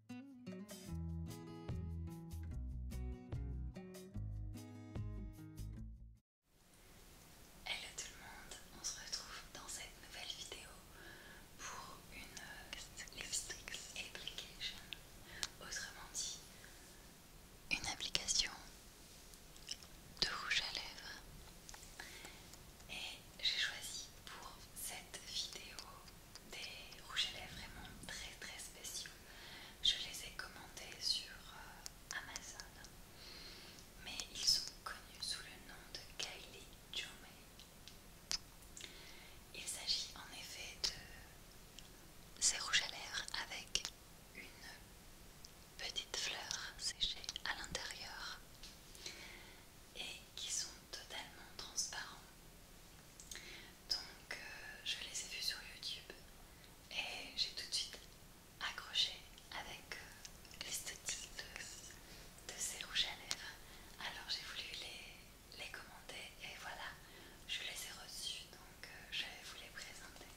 Hello tout le monde, on se retrouve dans cette nouvelle vidéo pour une euh, lipstick Application, autrement dit une application de rouge à lèvres. Et j'ai choisi pour cette vidéo des rouges à lèvres vraiment très très spéciaux. Je les ai commandés sur euh, Amazon, mais ils sont connus sous le nom de Kylie Jume Il s'agit en effet de ces rouges à lèvres avec une petite fleur séchée à l'intérieur et qui sont totalement transparents. Donc euh, je les ai vus sur YouTube et j'ai tout de suite accroché avec les euh, l'esthétique de, ces rouges à lèvres. Alors j'ai voulu les, les commander et voilà, je les ai reçus donc euh, je vais vous les présenter.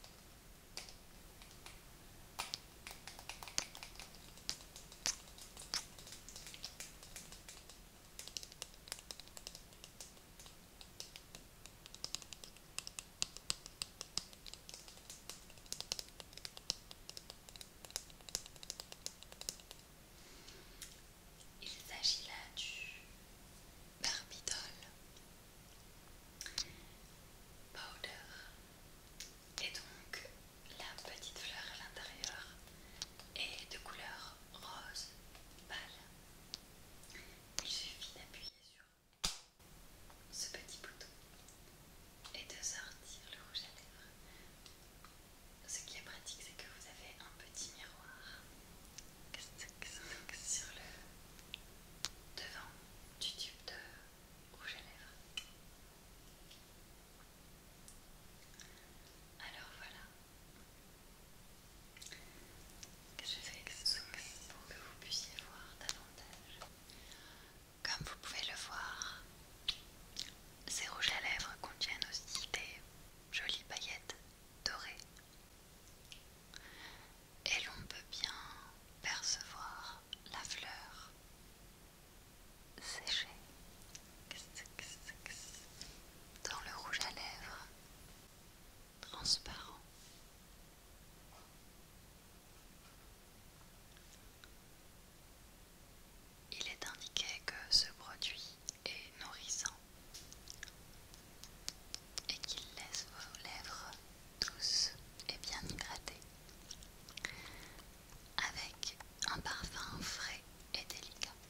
Il s'agit là du Barbidol Powder et donc la petite fleur à l'intérieur est de couleur rose pâle il suffit d'appuyer sur ce petit bouton et de sortir le rouge à lèvres. Ce qui est pratique, c'est que vous avez un petit miroir sur le devant du tube de rouge à lèvres. Alors voilà, je fais pour que vous puissiez voir davantage. Comme vous pouvez le voir, ces rouges à lèvres contiennent aussi des jolies paillettes dorées. Et l'on peut bien percevoir la fleur séchée dans le rouge à lèvres transparent. Il est indiqué que ce produit est nourrissant et qu'il laisse vos lèvres douces et bien hydratées, avec un parfum frais et délicat.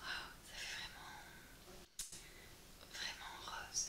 Wow, oh, ça vraiment, vraiment rose.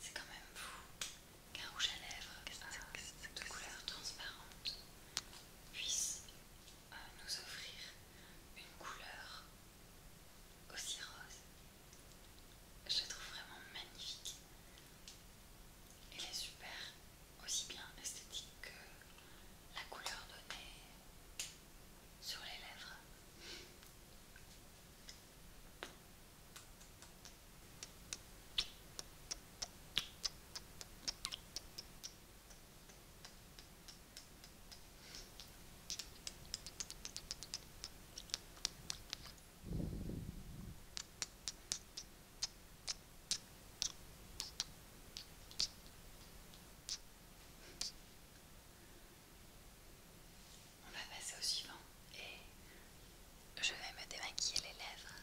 C'est quand même fou qu'un rouge à lèvres, de couleur transparente, puisse euh, nous offrir une couleur aussi rose. Je la trouve vraiment magnifique. Elle est super, aussi bien esthétique que la couleur donnée sur les lèvres. On va passer au suivant et je vais me démaquiller les lèvres.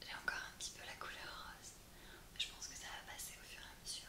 J'ai encore un petit peu la couleur rose, je pense que ça va passer au fur et à mesure.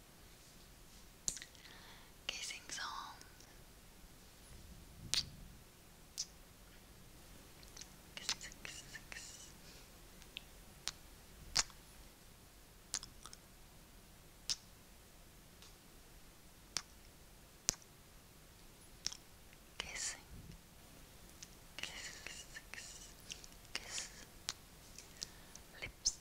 Kissing song. Kiss, kiss, Kissing. Lips.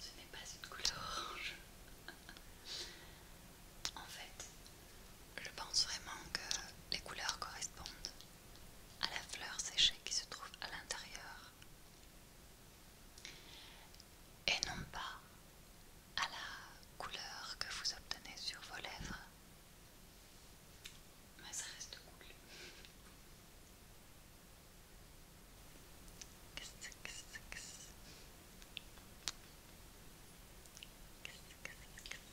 Ce n'est pas une couleur orange. En fait, je pense vraiment que les couleurs correspondent à la fleur séchée qui se trouve à l'intérieur et non pas à la couleur que vous obtenez sur vos lèvres. Mais ça reste cool.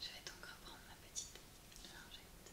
Je vais donc reprendre ma petite largette.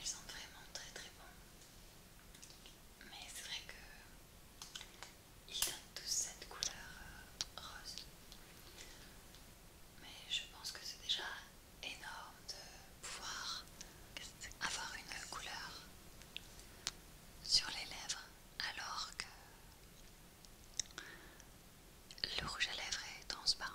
Ils sont vraiment très très bons, Mais c'est vrai que ils donnent tous cette couleur euh, rose. Mais je pense que c'est déjà énorme de pouvoir avoir une couleur sur les lèvres alors que le rouge à lèvres est transparent.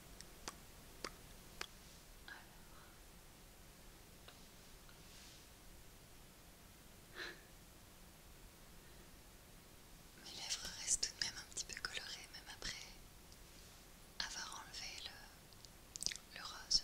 Mes lèvres restent tout de même un petit peu colorées, même après avoir enlevé le, rose.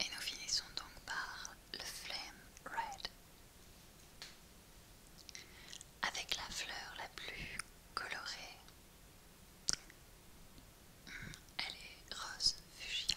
Et nous finissons donc par le Flame Red, avec la fleur la plus colorée. Hmm, elle est rose fuchsia.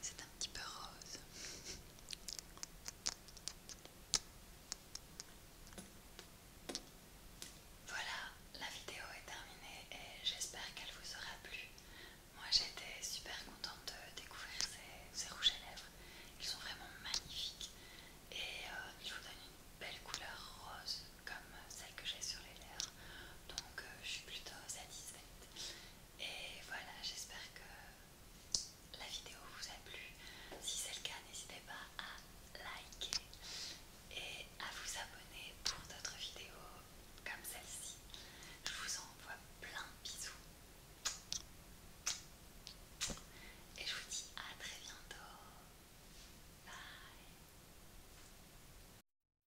C'est un petit peu rose. Voilà, la vidéo est terminée et j'espère qu'elle vous aura plu. Moi j'étais super contente de découvrir ces, rouges à lèvres. Ils sont vraiment magnifiques et euh, ils vous donnent une belle couleur rose comme celle que j'ai sur les lèvres donc euh, je suis plutôt satisfaite. Et voilà, j'espère que la vidéo vous a plu. Si c'est le cas, n'hésitez pas à liker et à vous abonner pour d'autres vidéos comme celle-ci. Je vous envoie plein de bisous. Et je vous dis à très bientôt. Bye.